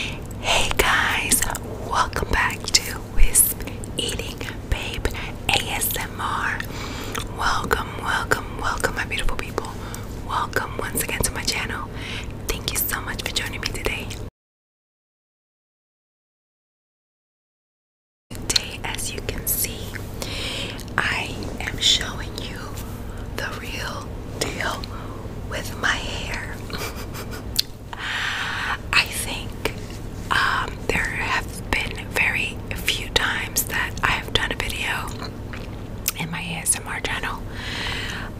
Hey guys, welcome back to Wisp Eating Babe ASMR. Welcome, welcome, welcome, my beautiful people. Welcome once again to my channel. Thank you so much for joining me today. Today, as you can see, I am showing you the real deal with my hair. I think um, there have been very few times that I have done a video in my ASMR channel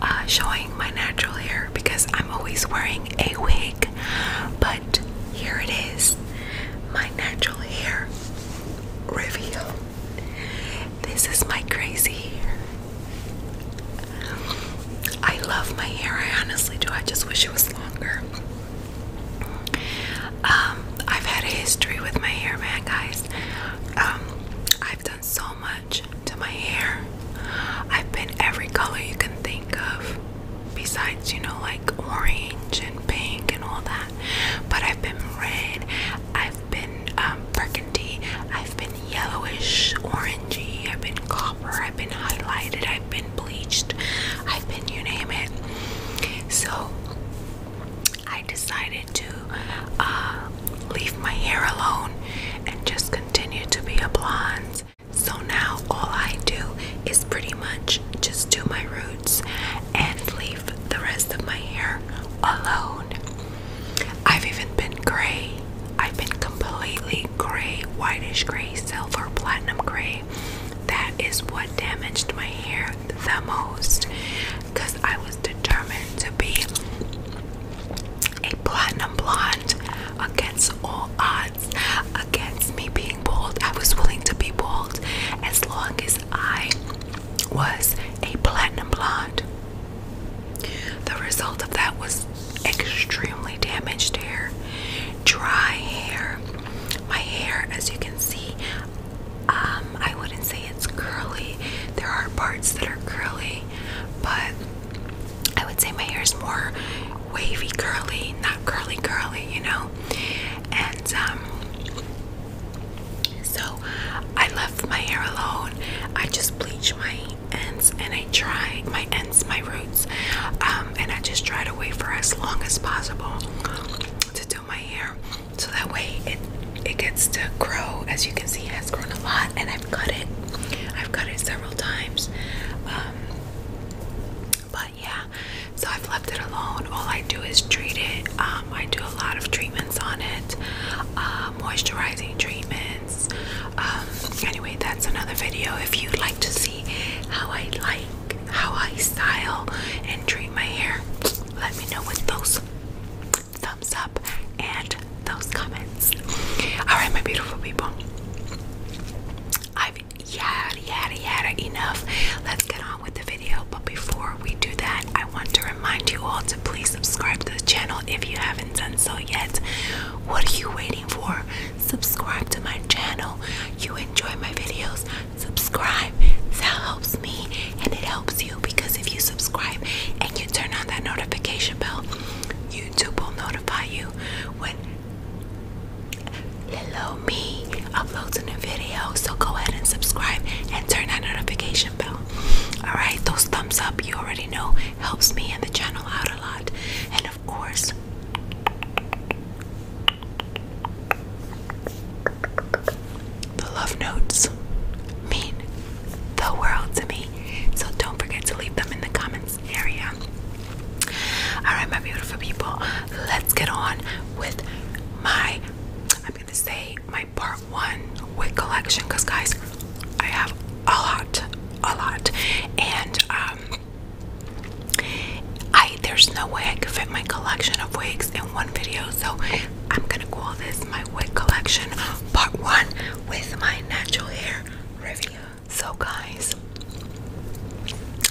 uh, showing my natural hair because I'm always wearing a wig, but here it is my natural hair reveal. This is my crazy hair. I love my hair. I honestly do. I just wish it was longer. Um, I've had a history with my hair, man, guys. Um, I've done so much to my hair. I've been every color you can think of, besides, you know, like orange and pink and all that. But I've been red. I've been um, burgundy. I've been yellowish, orangey. I've been copper. I've been highlighted. I've been bleached. I've been you name it. So I decided to uh, leave my hair alone and just continue to be a blonde. So now all I do is pretty much just do my roots and leave the rest of my hair alone. I've even been gray. I've been completely gray, whitish gray, silver, platinum gray. That is what damaged my hair the most because I was determined to be a platinum blonde against all odds, against me being bald. I was willing to be bald as long as I was a platinum blonde. The result of that was extremely damaged hair, dry hair. My hair, as you can see, um, I wouldn't say it's curly. There are parts that are curly, but I would say my hair is more wavy, curly, not curly, curly, you know. And um, so I left my hair alone. I just bleached my ends and I try my ends, my roots, um, and I just try to wait for as long as possible to do my hair so that way it it gets to grow. As you can see, it has grown a lot, and I've cut it. I've cut it several times. Um, but yeah, so I've left it alone. All I do is treat it. Um, I do a lot of treatments on it, uh, moisturizing treatment. Um, anyway, that's another video. If you'd like to see how I like, how I style and treat my hair, let me know with those thumbs up and those comments. Alright, my beautiful people. I've yada yada yada enough. Let's get on with the video. But before we do that, I want to remind you all to please subscribe to the channel if you have not and so yet, what are you waiting for? Subscribe to my channel. You enjoy my videos, subscribe. That helps me and it helps you because if you subscribe and you turn on that notification bell, YouTube will notify you when Hello Me uploads a new video. So go ahead and subscribe and turn that notification bell. Alright, those thumbs up you already know helps me and the channel out a lot. And of course, the love notes mean the world to me. So don't forget to leave them in the comments area. Alright, my beautiful people, let's get on with my, I'm going to say, my part one wig collection because guys I have a lot a lot and um, I there's no way I could fit my collection of wigs in one video so I'm gonna call this my wig collection part one with my natural hair review so guys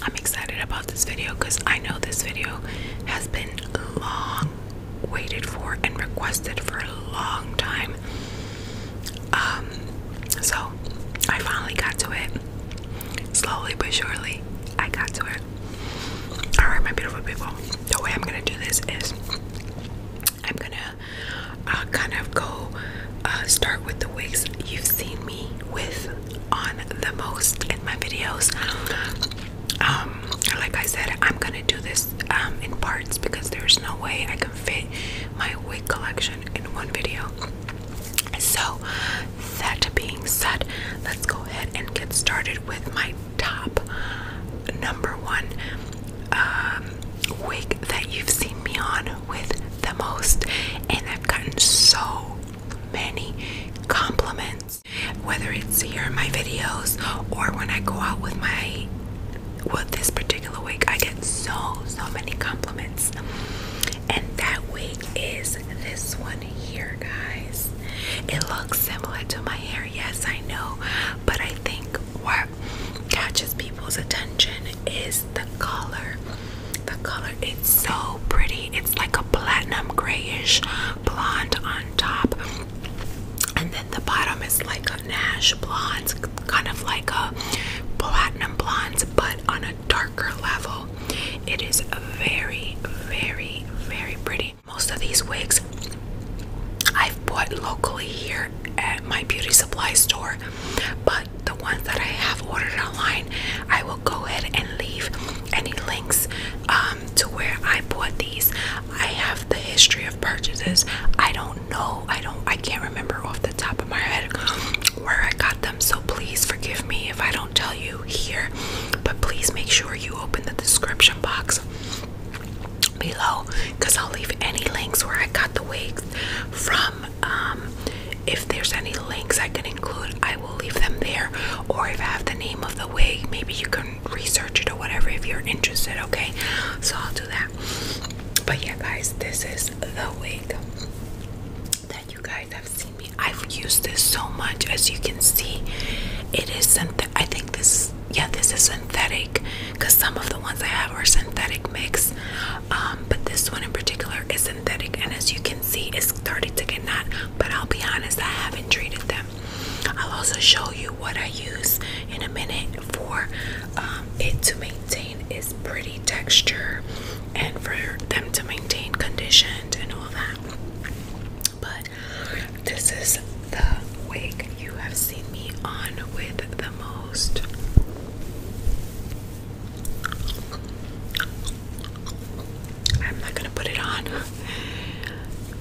I'm excited about this video because I know this video has been long waited for and requested for a long time. Um, so I finally got to it. Slowly but surely, I got to it. Alright, my beautiful people. The way I'm gonna do this is I'm gonna uh, kind of go uh, start with the wigs you've seen me with on the most in my videos. Um, like I said, I'm gonna do this um, in parts because there's no way I can fit my wig collection in one video. So, that being said, let's go ahead and get started with my top number one um, wig that you've seen me on with the most, and I've gotten so many compliments whether it's here in my videos or when I go out with my with this particular wig I get so so many compliments and that wig is this one here guys it looks similar to my hair yes I know but I think what catches people's attention is the color the color it's so pretty it's like a platinum grayish blonde on top the bottom is like a Nash blonde, kind of like a platinum blonde, but on a darker level. It is very, very, very pretty. Most of these wigs I've bought locally here at my beauty supply store, but the ones that I have ordered online, I will go ahead and leave any links um, to where I bought these. I have the history of purchases. I don't do I don't. I can't remember off the top of my head where I got them. So please forgive me if I don't tell you here. But please make sure you open the description box below, cause I'll leave any links where I got the wigs from. Um, if there's any links I can include, I will leave them there. Or if I have the name of the wig, maybe you can research it or whatever if you're interested, okay? So I'll do that. But yeah, guys, this is the wig that you guys have seen me. I've used this so much as you can see. It is synthetic. I think this yeah, this is synthetic because some of the ones I have are synthetic mix. Um, but this one in particular is synthetic and as you can see it's started to get not but I'll be honest I haven't treated them. I'll also show you what I use in a minute for um, it to maintain its pretty texture and for them to maintain conditioned and all that. But this is the wig you have seen me on with the most. I'm not gonna put it on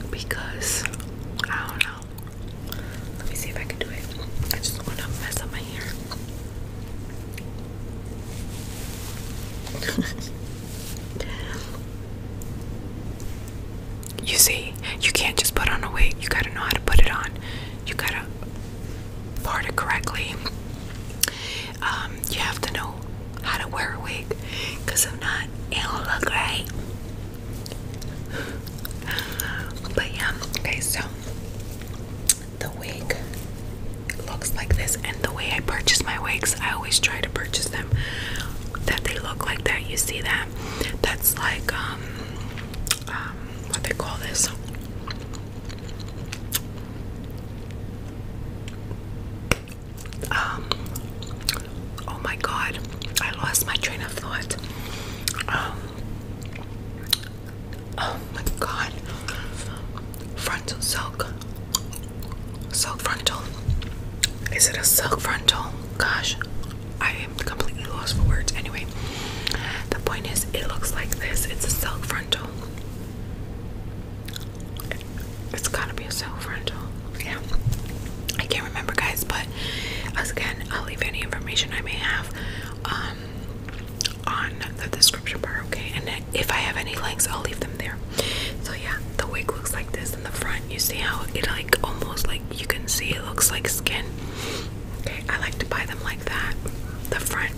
because I don't know. Let me see if I can do it. I just want to mess up my hair. you see, you can't just put on a wig. You gotta know how to put it on. You gotta part it correctly. Um, you have to know how to wear a wig, cause I'm not, it do look right but yeah, okay, so the wig looks like this, and the way I purchase my wigs, I always try to purchase them that they look like that. You see that? That's like um, um, what they call this. Um Oh my god, I lost my train of thought. Um, oh my god, frontal silk, silk frontal. Is it a silk frontal? Gosh, I am completely lost for words. Anyway, the point is, it looks like this. It's a silk frontal. It's gotta be a silk frontal yeah I can't remember guys but again I'll leave any information I may have um, on the description bar okay and if I have any links I'll leave them there so yeah the wig looks like this in the front you see how it like almost like you can see it looks like skin okay I like to buy them like that the front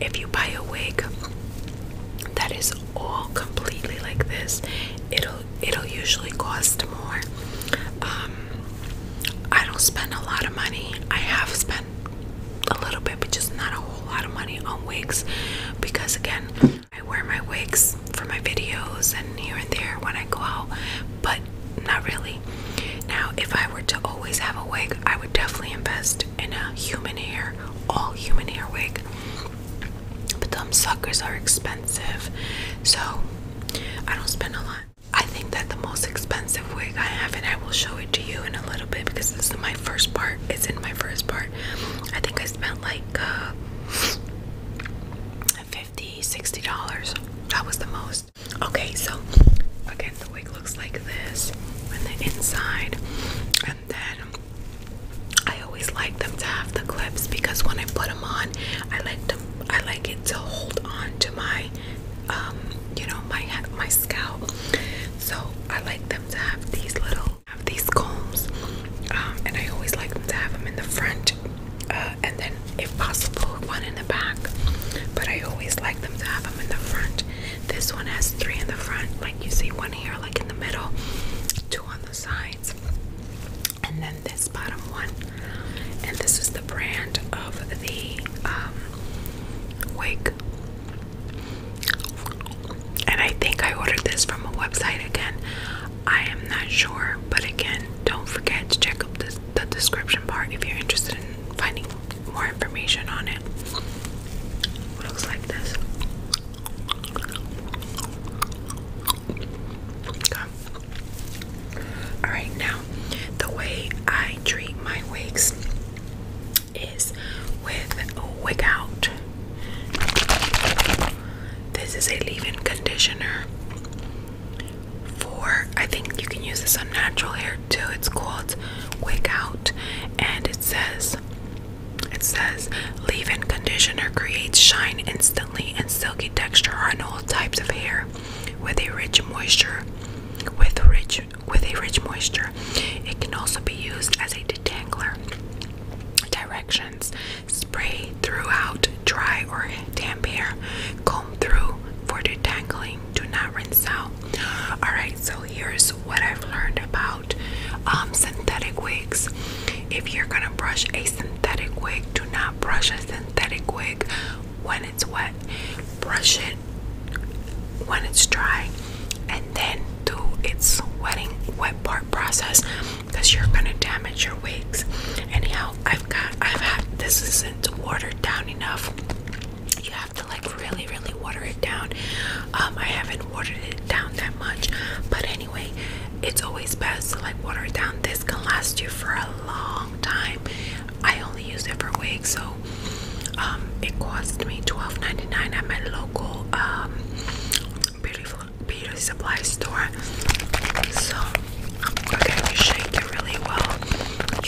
if you buy a wig that is all completely like this it'll it'll usually cost more. Um, I don't spend a lot of money. I have spent a little bit, but just not a whole lot of money on wigs because again, I wear my wigs for my videos and here and there when I go out, but not really. Now, if I were to always have a wig, I would definitely invest in a human hair, all human hair wig. But them suckers are expensive. So I don't spend a lot. I think that the most expensive wig I have, and I will show it to you in a little bit because this is my first part. It's in my first part. I think I spent like uh, $50, $60. That was the most. Okay, so again, the wig looks like this and the inside. And then I always like them to have the clips because when I put them on, I like to. I like it to hold on to my, um, you know, my my scalp. So I like them to have these little, have these combs, um, and I always like them to have them in the front, uh, and then if possible, one in the back. But I always like them to have them in the front. This one has three in the front, like you see one here, like in the middle, two on the sides and then this bottom one and this is the brand of the um, wig and I think I ordered this from a website again I am not sure but again don't forget to check up the description bar if you're interested in finding more information on it it looks like this all right, now the way I treat my wigs is with wig out. This is a leave-in conditioner for I think you can use this on natural hair too. It's called Wig Out and it says it says leave-in conditioner creates shine instantly and silky texture on all types of hair with a rich moisture with rich with a rich moisture. It can also be used as a detangler. Directions spray throughout dry or damp hair. Comb through for detangling. Do not rinse out. Alright, so here's what I've learned about um, synthetic wigs. If you're gonna brush a synthetic wig, do not brush a synthetic wig when it's wet. Brush it when it's dry and then do its wetting wet part process because you're gonna damage your wigs. Anyhow, I've got I've had this isn't watered down enough. You have to like really really water it down. Um I haven't watered it down that much, but anyway it's always best to like water it down this can last you for a long time i only use it for wigs so um, it cost me 12.99 at my local um beauty supply store so okay you shake it really well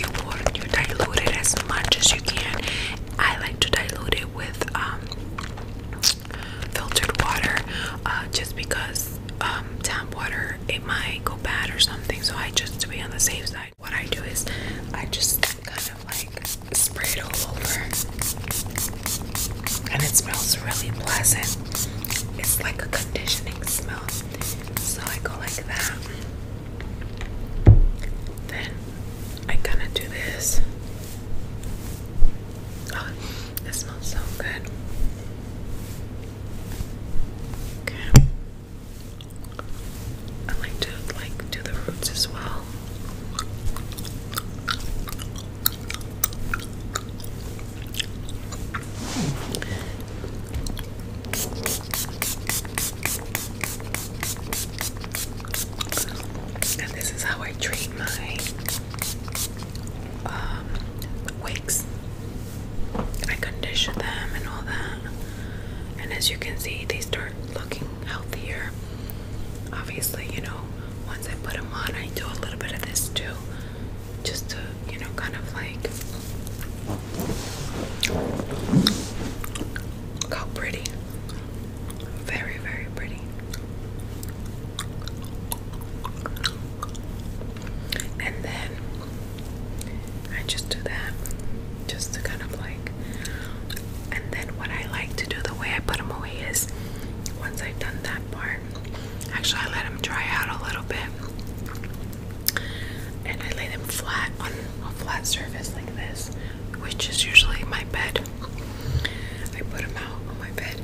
you water you dilute it as much as you can i like to dilute it with um, filtered water uh, just because um, tap water it might go bad or something so I just to be on the safe side what I do is I just kind of like spray it all over and it smells really pleasant it's like a conditioning smell so I go like that then I kind of do this Oh, it smells so good. Okay. I like to like do the roots as well. And this is how I treat my um, wigs. I condition them and all that. And as you can see, they start looking healthier. Obviously, you know, once I put them on, I do a little bit of this too. Just to, you know, kind of like. Look how pretty. Very, very pretty. And then I just do that just to kind of like. And then what I like to do, the way I put them away is once I've done that part, actually, I let them dry out a little bit and I lay them flat on a flat surface like this, which is usually my bed. I put them out on my bed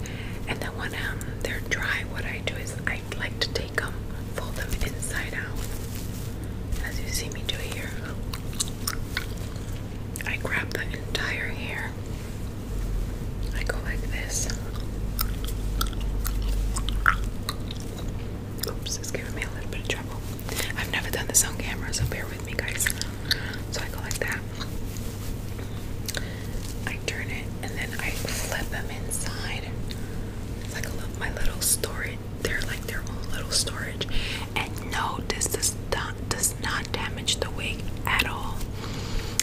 and then when um, they're dry, what I do is I like to take them, um, fold them inside out, as you see me do here. I grab the entire hair. I go like this. Oops, it's giving me a little bit of trouble. I've never done this on camera, so bear with me, guys. So I go like that. I turn it and then I flip them inside. like a little, my little storage. They're like their own little storage. And no, this does not, does not damage the wig at all.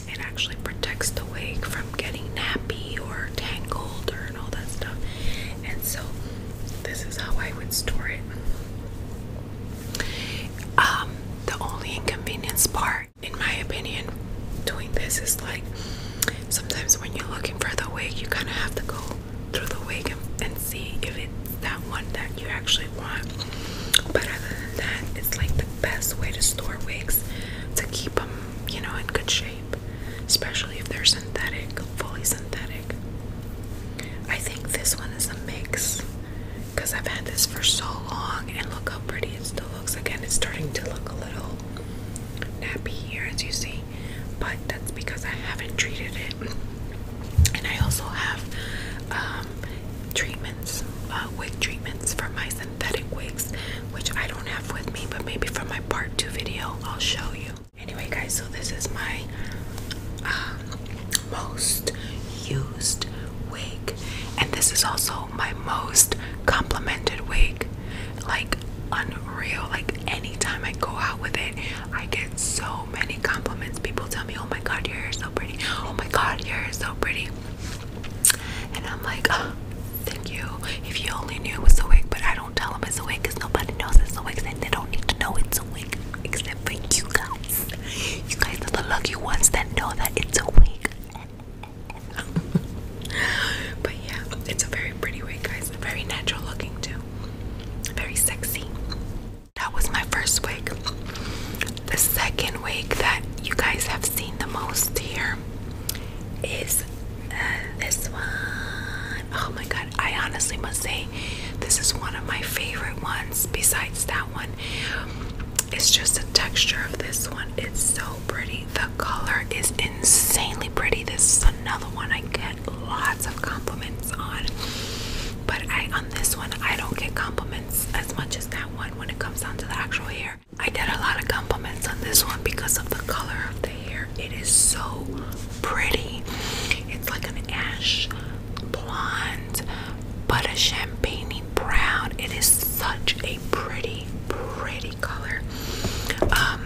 It actually protects the wig from getting nappy or tangled or and all that stuff. And so this is how I would store it. Um, the only inconvenience part in my opinion, doing this is like sometimes when you're looking for the wig, you kind of have to go through the wig and, and see if it's that one that you actually want. But other than that, it's like the best way to store wigs to keep them, you know, in good shape, especially if they're synthetic, fully synthetic. I think this one is a mix because I've had this for so long and look how pretty it still looks. Again, it's starting to look a little nappy here as you see, but that's because I haven't treated it. And I also have um, treatments, uh, wig treatments for my synthetic wigs, which I don't have with me, but maybe for my part two video, I'll show you. Anyway, guys, so this is my um, most used wig, and this is also my most complimented wig. Like unreal. Like anytime I go out with it, I get so many compliments. People tell me, "Oh my God, your hair is so pretty." "Oh my God, your hair is so pretty." And I'm like, oh, "Thank you." If you only knew it was a wig, but I don't tell them it's a wig because nobody knows it's a wig, and they don't need to know it's a wig except for you guys. You guys are the lucky ones that know that it's a wig, but yeah, it's a very pretty wig, guys. Very natural looking, too. Very sexy. That was my first wig. The second wig that you guys have seen the most here is uh, this one. Oh my god, I honestly must say, this is one of my favorite ones besides that one it's just the texture of this one. It's so pretty. The color is insanely pretty. This is another one I get lots of compliments on. But I on this one I don't get compliments as much as that one when it comes down to the actual hair. I get a lot of compliments on this one because of the color of the hair. It is so pretty. It's like an ash blonde but a champagne brown. It is such a pretty, pretty color. Um,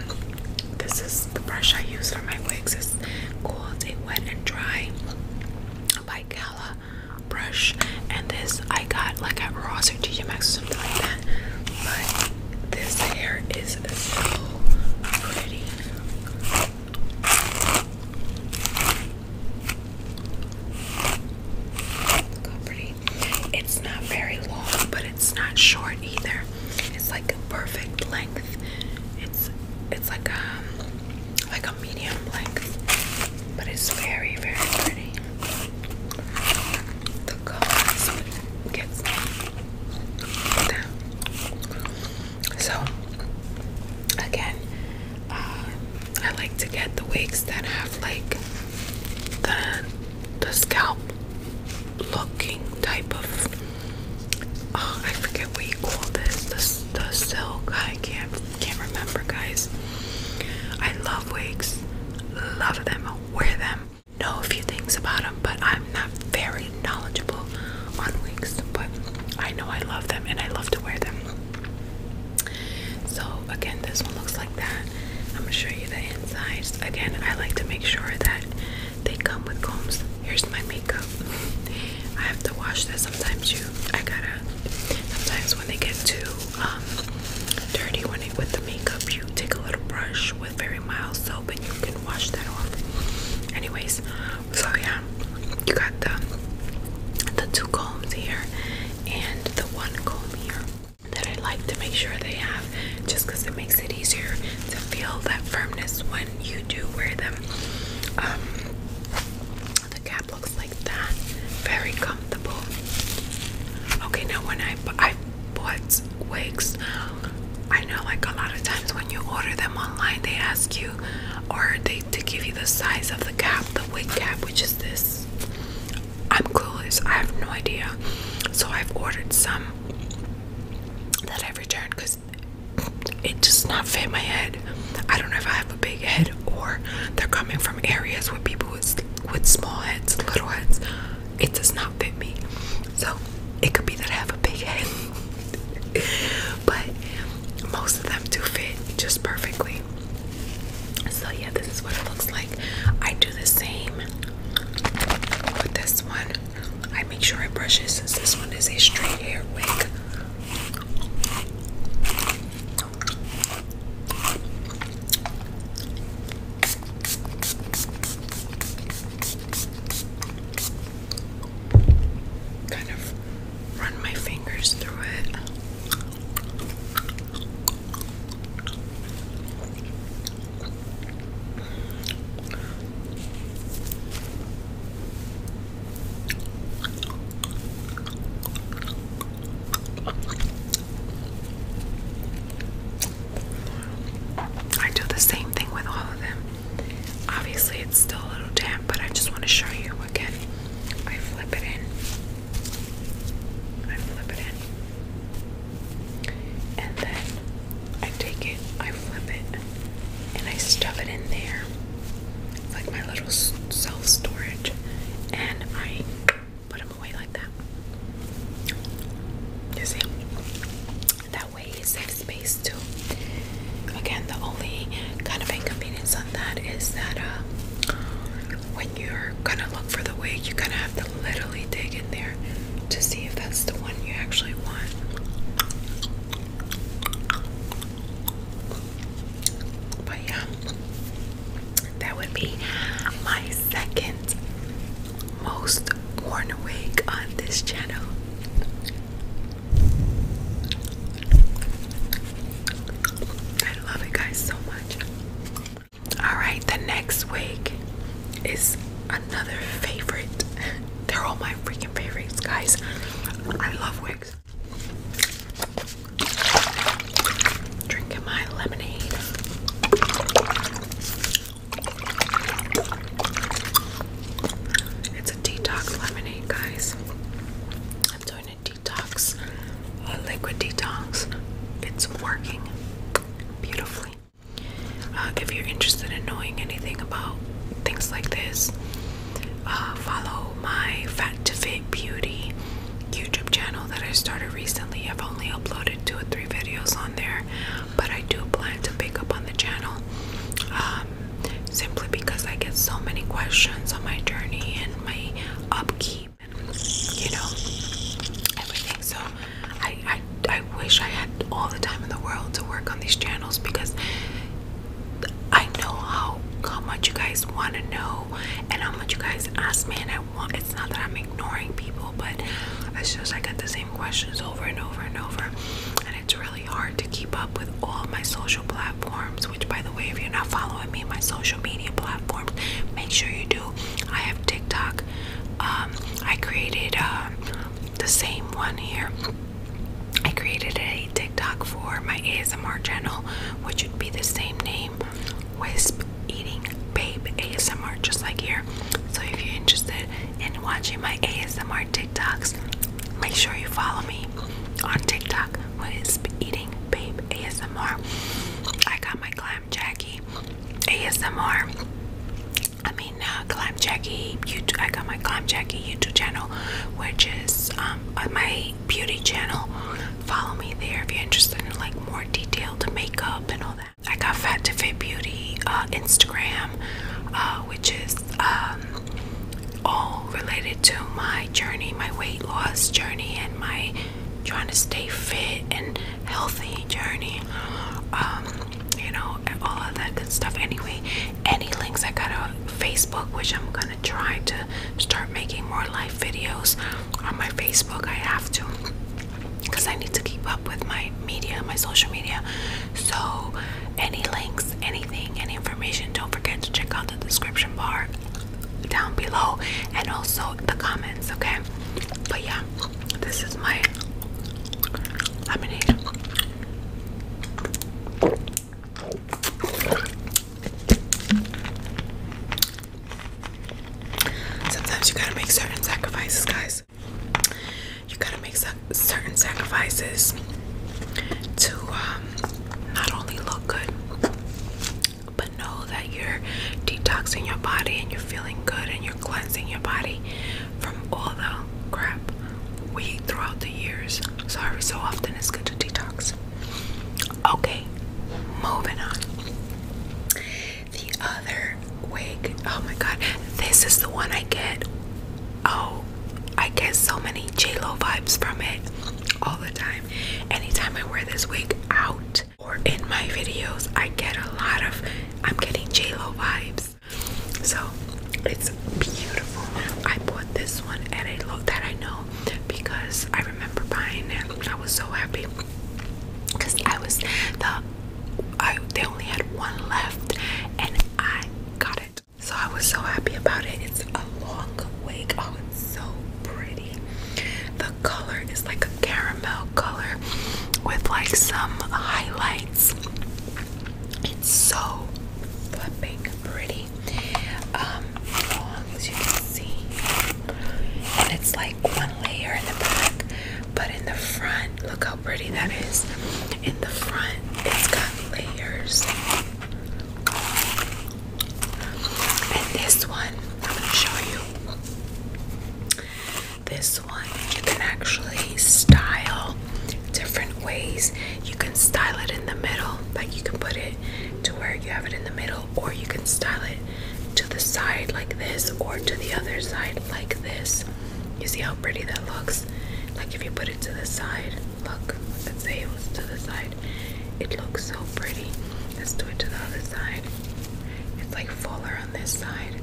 this is the brush I use for my wigs. It's called a wet and dry by Gala brush. And this I got like at Ross or TJ Maxx or something like that. But this hair is so pretty. It's not very long, but it's not short either. It's like a perfect length. It's it's like a um, like a medium length, but it's very very pretty. The color gets down. So again, uh, I like to get the wigs that have like the the scalp looking type of oh I forget what you call this the, the silk I can't can't remember guys I love wigs love them wear them know a few things about them but I'm not very knowledgeable on wigs but I know I love them and I love to wear them so again, this one looks like that. I'm gonna show you the insides. Again, I like to make sure that they come with combs. Here's my makeup. I have to wash this. Sometimes you, I gotta. Sometimes when they get too um, dirty, when it, with the makeup, you take a little brush with very mild soap and you can wash that off. Anyways, so yeah, you got the the two combs here and the one comb here that I like to make sure they have just it makes it easier to feel that firmness when you do wear them. Um, the cap looks like that, very comfortable. Okay, now when I, I wigs, I know like a lot of times when you order them online, they ask you or they to give you the size of the cap, the wig cap, which is this. I'm clueless. I have no idea. So I've ordered some that I've returned because it does not fit my head. I don't know if I have a big head or they're coming from areas where people with with small heads, little heads. It does not fit me. So it could be that I have a big head. but most of them do fit just perfectly. So yeah, this is what it looks like. I do the same with this one. I make sure I brush it since this one is a straight hair wig. Kind of run my fingers through it. I do the same thing with all of them. Obviously, it's still a little damp, but I just want to show you again. I flip it in. I flip it in. And then I take it, I flip it, and I stuff it in there. like my little self storage. And I put them away like that. You see? That way it saves space too. Again, the only kind of inconvenience on that is that uh, when you're gonna look for the wig, you're gonna have to literally dig in there to see if that's the one you actually want. But yeah, that would be my second most worn wig on this channel. I love it, guys, so much. All right, the next wig is another favorite. They're all my freaking favorites, guys. I love wigs. Drinking my lemonade. It's a detox lemonade, guys. I'm doing detox liquid detox. It's working beautifully. Uh, if you're interested in knowing anything about things like this, uh, follow my Fat to Fit Beauty YouTube channel that I started recently. I've only uploaded two or three videos on there, but I do plan to pick up on the channel um, simply because I get so many questions on my journey and my upkeep, you know, everything. So I, I, I wish I had all the time in the world to work on these channels because I know how how much you guys want to know and how much you guys ask me and I want it's not that I'm ignoring people but it's just I get the same questions over and over and over and it's really hard to keep up with all my social platforms which, by the way, if you're not following me, on my social media platforms, make sure you do. I have TikTok. Um, I created um, the same one here. I created a TikTok for my ASMR channel, which would be the same name Wisp Eating Babe ASMR, just like here. So, if you're interested in watching my ASMR TikToks, make sure you follow me on TikTok what is eating babe ASMR. I got my clam jackie ASMR. I mean uh, clam jackie YouTube. I got my clam jackie YouTube channel, which is um, on my beauty channel. Follow me there if you're interested in like more detailed makeup and all that. I got Fat to Fit Beauty uh, Instagram, uh, which is um, all related to my journey, my weight loss journey, and my trying to stay fit and healthy journey. Um, you know, all of that good stuff. Anyway, any links I got on Facebook, which I'm gonna try to start making more live videos on my Facebook. I have to because I need to keep up with my media, my social media. So, any links, anything, any information, don't forget to check out the description bar down below and also the comments, okay? But yeah, this is my lemonade. Sometimes you gotta make certain sacrifices, guys. You gotta make certain sacrifices to um, not only look good, but know that you're detoxing your body and you're feeling good and you're cleansing your body from all the crap we eat throughout the years. Sorry, so often it's good to detox. Okay, moving on. The other wig. Oh my god, this is the one I get. Oh, I get so many J Lo vibes from it all the time. Anytime I wear this wig out or in my videos, I get a lot of I'm getting J-Lo vibes. So it's beautiful. I bought this one at a low that I know because I remember buying it. I was so happy because I was the I they only had one left and I got it. So I was so happy about it. It's a long wig. Oh, it's so pretty. The color is like a caramel color with like some highlights. It's so flipping pretty. Um, as you can see. And it's like one layer in the back, but in the front, look how pretty that is. In the front, it's got layers. And this one, I'm gonna show you. This one, you can actually style different ways. You can style it in the middle, like you can put it to where you have it in the middle, or you can style it to the side like this, or to the other side like this. You see how pretty that looks? Like if you put it to the side, look, let's say it was to the side. It looks so pretty. Let's do it to the other side. It's like fuller on this side,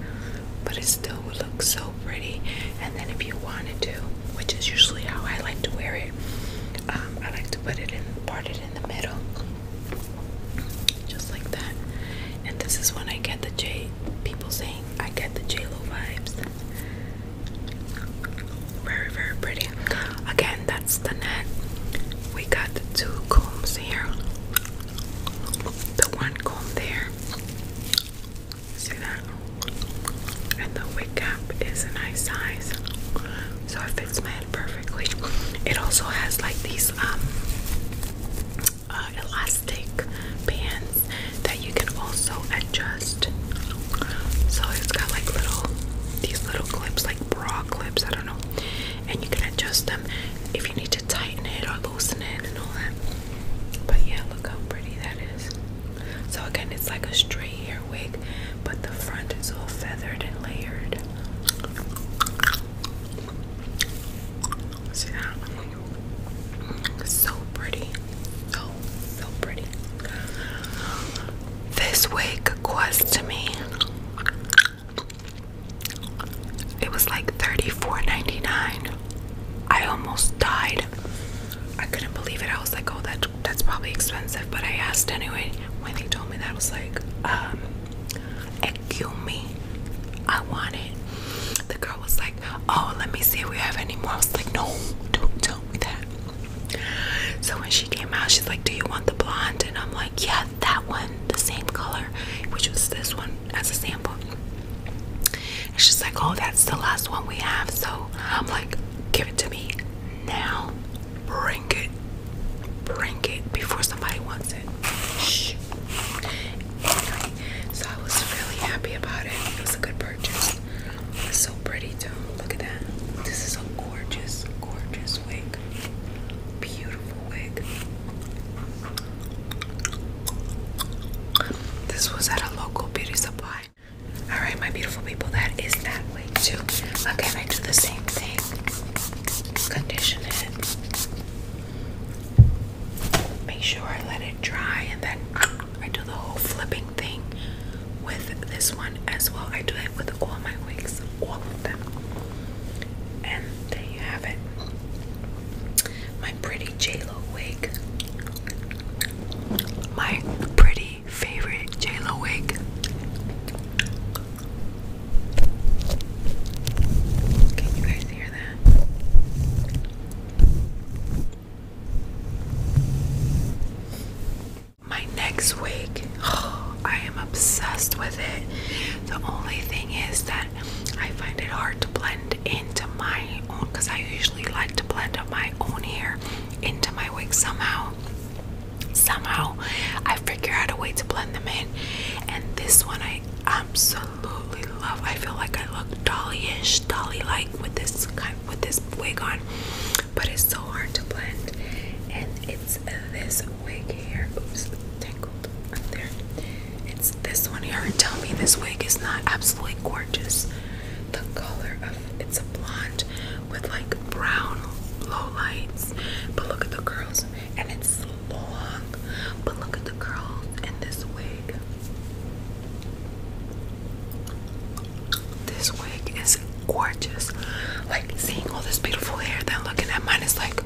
but it still would look so pretty. And then if you wanted to, which is usually how I like to wear it, um, I like to put it in, part it in the middle, just like that. And this is when I get the J. People saying I get the J Lo vibes. Very, very pretty. Again, that's the net. We got two combs here. The one comb there. See that? And the wig cap is a nice size. So it fits my head perfectly. It also has like these um uh, elastic bands that you can also adjust so it's got like little these little clips, like bra clips, I don't know. And you can adjust them if you need to tighten it or loosen it and all that. But yeah, look how pretty that is. So again, it's like a straight hair wig, but the front is all feathered and layered. See that? So pretty. So so pretty this wig cost to me it was like thirty four ninety nine. I almost died I couldn't believe it I was like oh that that's probably expensive but I asked anyway when they told me that I was like um me I want it the girl was like oh let me see if we have any more I was like no don't tell me that so when she came out, she's like, Do you want the blonde? And I'm like, Yeah, that one, the same color, which was this one as a sample. she's like, Oh, that's the last one we have. So I'm like, Give it to me now. Bring it. Bring it before somebody wants it. Shh. so I was really happy about it. It was a good purchase. So pretty too. Look at that. This is a gorgeous, gorgeous wig. Beautiful wig. This was at a local beauty supply. Alright, my beautiful people, that is that wig too. Okay, I do the same thing? Condition it. Make sure I let it dry and then I do the whole flipping thing with this one as well. I do it with all my wigs, all of them. And there you have it. My pretty JLo wig. My pretty favorite JLo wig. Can you guys hear that? My next wig, I am obsessed with it. The only thing is that I find it hard to blend into my own because I usually like to blend up my own hair into my wig somehow. Somehow I figure out a way to blend them in, and this one I absolutely love. I feel like I look dolly-ish, dolly-like with this with this wig on but it's so hard to blend. And it's this wig here. Oops, tangled up there. It's this one here. And tell me this wig is not absolutely gorgeous. The color of it's a blonde with like brown blow lights. But look at the curls. And it's long. But look at the curls in this wig. This wig is gorgeous. Like seeing all this beautiful hair, then looking at mine is like,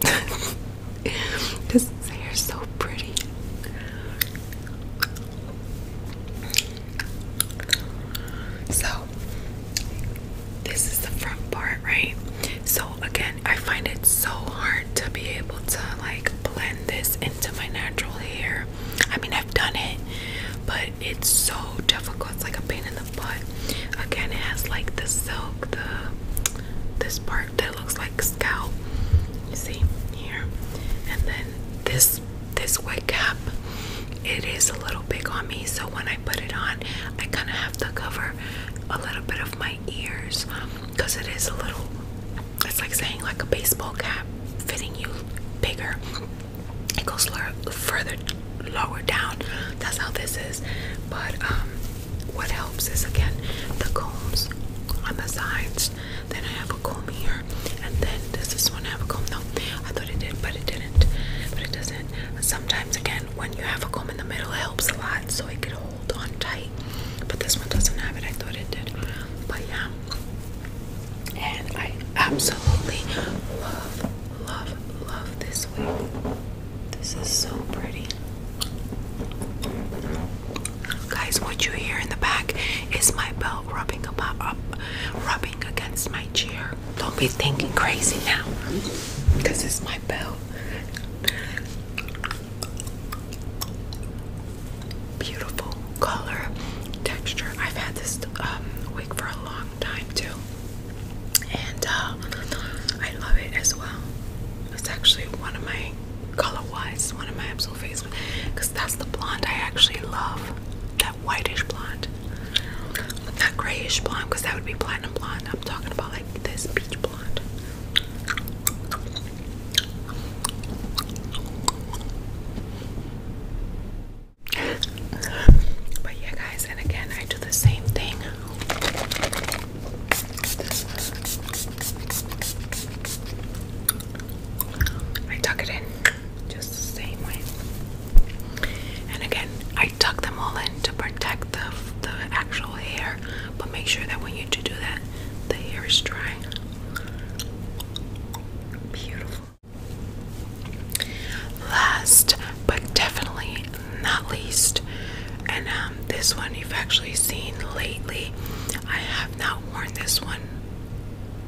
this hair is so pretty. So, this is the front part, right? So, again, I find it so hard to be able to like blend this into my natural hair I mean, I've done it, but it's so difficult. It's like a pain in the butt. Again, it has like the silk, the this part that looks like scalp. You see here, and then this this wig cap. It is a little big on me, so when I put it on, I kind of have to cover a little bit of my ears because it is a little it's like saying like a baseball cap fitting you bigger. It goes lower, further lower down. That's how this is. But um, what helps is again the combs on the sides. Then I have a comb here, and then does this one have a comb? though? I thought it did, but it didn't. But it doesn't. Sometimes again, when you have a comb in the middle, it helps a lot, so it could hold on tight. But this one doesn't have it. I thought it did. But yeah, and I absolutely love, love, love this wig. This is so pretty. Guys, what you hear in the back is my belt rubbing about rubbing against my chair. Don't be thinking crazy now, because it's my belt beautiful color, texture. I've had this um, wig for a long time too, and uh, I love it as well. It's actually one of my color-wise, one of my absolute favorites because that's the blonde I actually love. That whitish blonde, not grayish blonde because that would be platinum blonde. I'm talking about like this peach blonde. But yeah, guys, and again, I do the same thing. I tuck it in just the same way. And again, I tuck them all in to protect the the actual hair, but make sure that when you do that, the hair is dry. Last but definitely not least, and um, this one you've actually seen lately. I have not worn this one,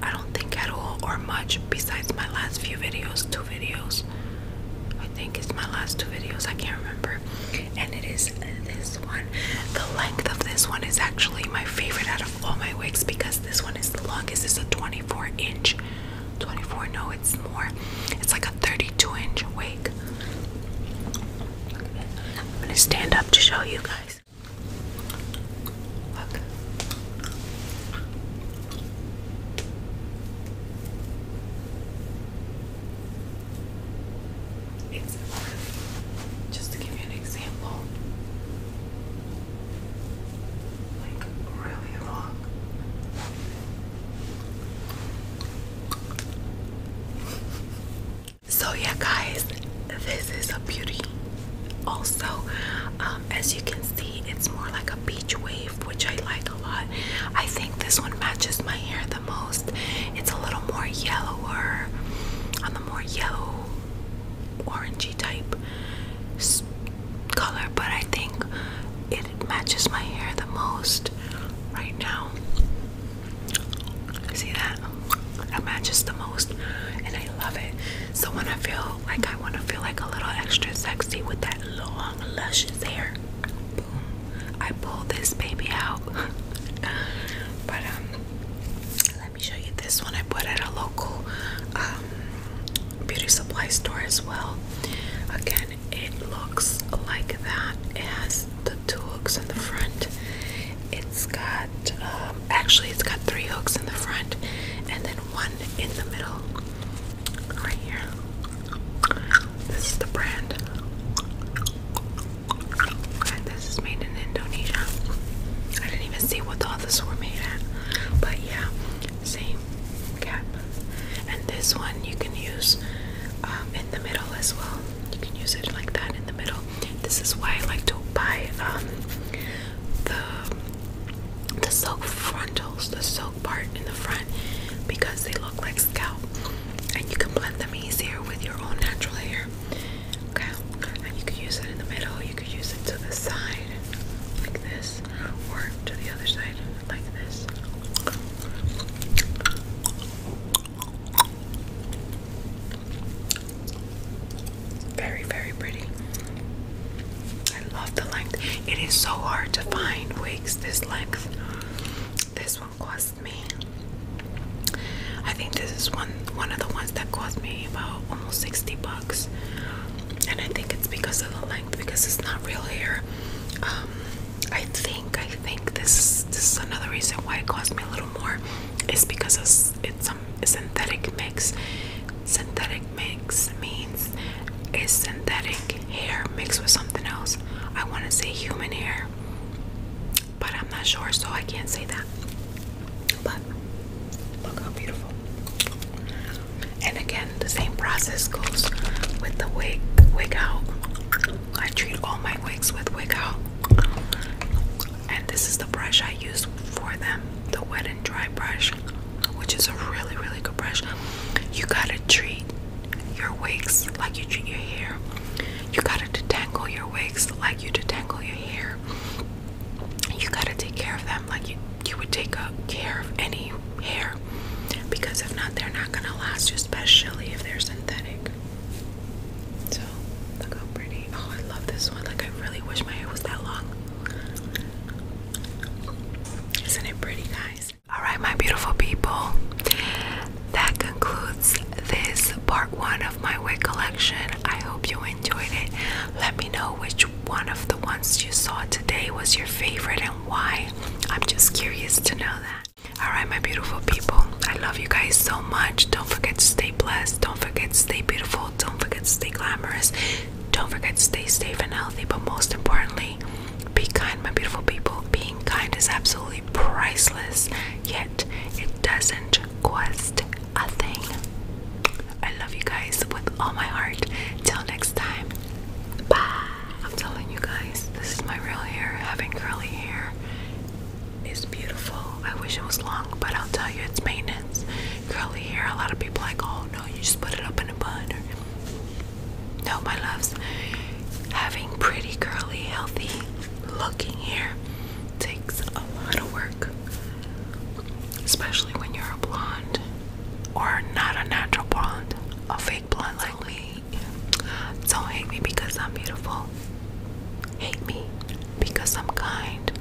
I don't think at all or much, besides my last few videos, two videos. I think it's my last two videos, I can't remember. And it is this one. The length of this one is actually my favorite out all my wigs because this one is the longest. It's a 24 inch. 24, no, it's more. It's like a 32 inch wig. I'm gonna stand up to show you guys. just to give you an example, so yeah guys, this is a beauty. Also, um, as you can see, it's more like a beach wave, which I like a lot. I think this one matches my hair the most. It's a little more yellower on the more yellow orangey type color, but I think it matches my hair the most right now. See that? That matches the most, and I love it. So when I feel like I want to feel like a little extra sexy with that long, luscious hair, boom, I pull this baby out. but um, let me show you this one I bought at a local um, beauty supply store as well. Again, it looks like that. It has the two hooks in the front. It's got um, actually it's got three hooks in the front and then one in the middle right here. This is the brand. And this is made in Indonesia. I didn't even see what the others were made at. But yeah, same cap. And this one you can use um, in the middle as well. You can use it like that in the middle. This is why I like to buy um, the the silk frontals, the silk part in the front, because they look like scalp, and you can blend them easier with your own natural hair. Okay, and you could use it in the middle, you could use it to the side, like this, or to the other side, like this. Very, very pretty. I love the length. It is so hard to find wigs this length. This one cost me I think this is one one of the ones that cost me about almost 60 bucks. And I think it's because of the length, because it's not real hair. Um, I think I think this this is another reason why it cost me a little more. Is because it's it's a um, synthetic mix. Synthetic mix means is synthetic hair mixed with something else. I want to say human hair but I'm not sure, so I can't say that. But look how beautiful. And again, the same process goes with the wig wig out. I treat all my wigs with wig out. And this is the brush I use for them, the wet and dry brush, which is a really, really good brush. You gotta treat your wigs like you treat your hair. You gotta detangle your wigs like you detangle your hair you gotta take care of them like you you would take care of any hair because if not they're not gonna last especially if they're synthetic so look how pretty oh i love this one like i really wish my hair was that long isn't it pretty guys all right my beautiful people that concludes this part one of my wig collection i hope you enjoyed it. Let me know which one of the ones you saw today was your favorite and why. I'm just curious to know that. Alright, my beautiful people, I love you guys so much. Don't forget to stay blessed. Don't forget to stay beautiful. Don't forget to stay glamorous. Don't forget to stay safe and healthy. But most importantly, be kind, my beautiful people. Being kind is absolutely priceless, yet it doesn't cost a thing. I love you guys with all my heart. Till next time. Bye. I'm telling you guys, this is my real hair. Having curly hair is beautiful. I wish it was long, but I'll tell you, it's maintenance. Curly hair, a lot of people like, oh no, you just put it up in a bun. No, my loves, having pretty, curly, healthy looking hair takes a lot of work, especially when you're a blonde or not a natural blonde, a fake blonde like me. Don't hate me because I'm beautiful. Hate me because I'm kind.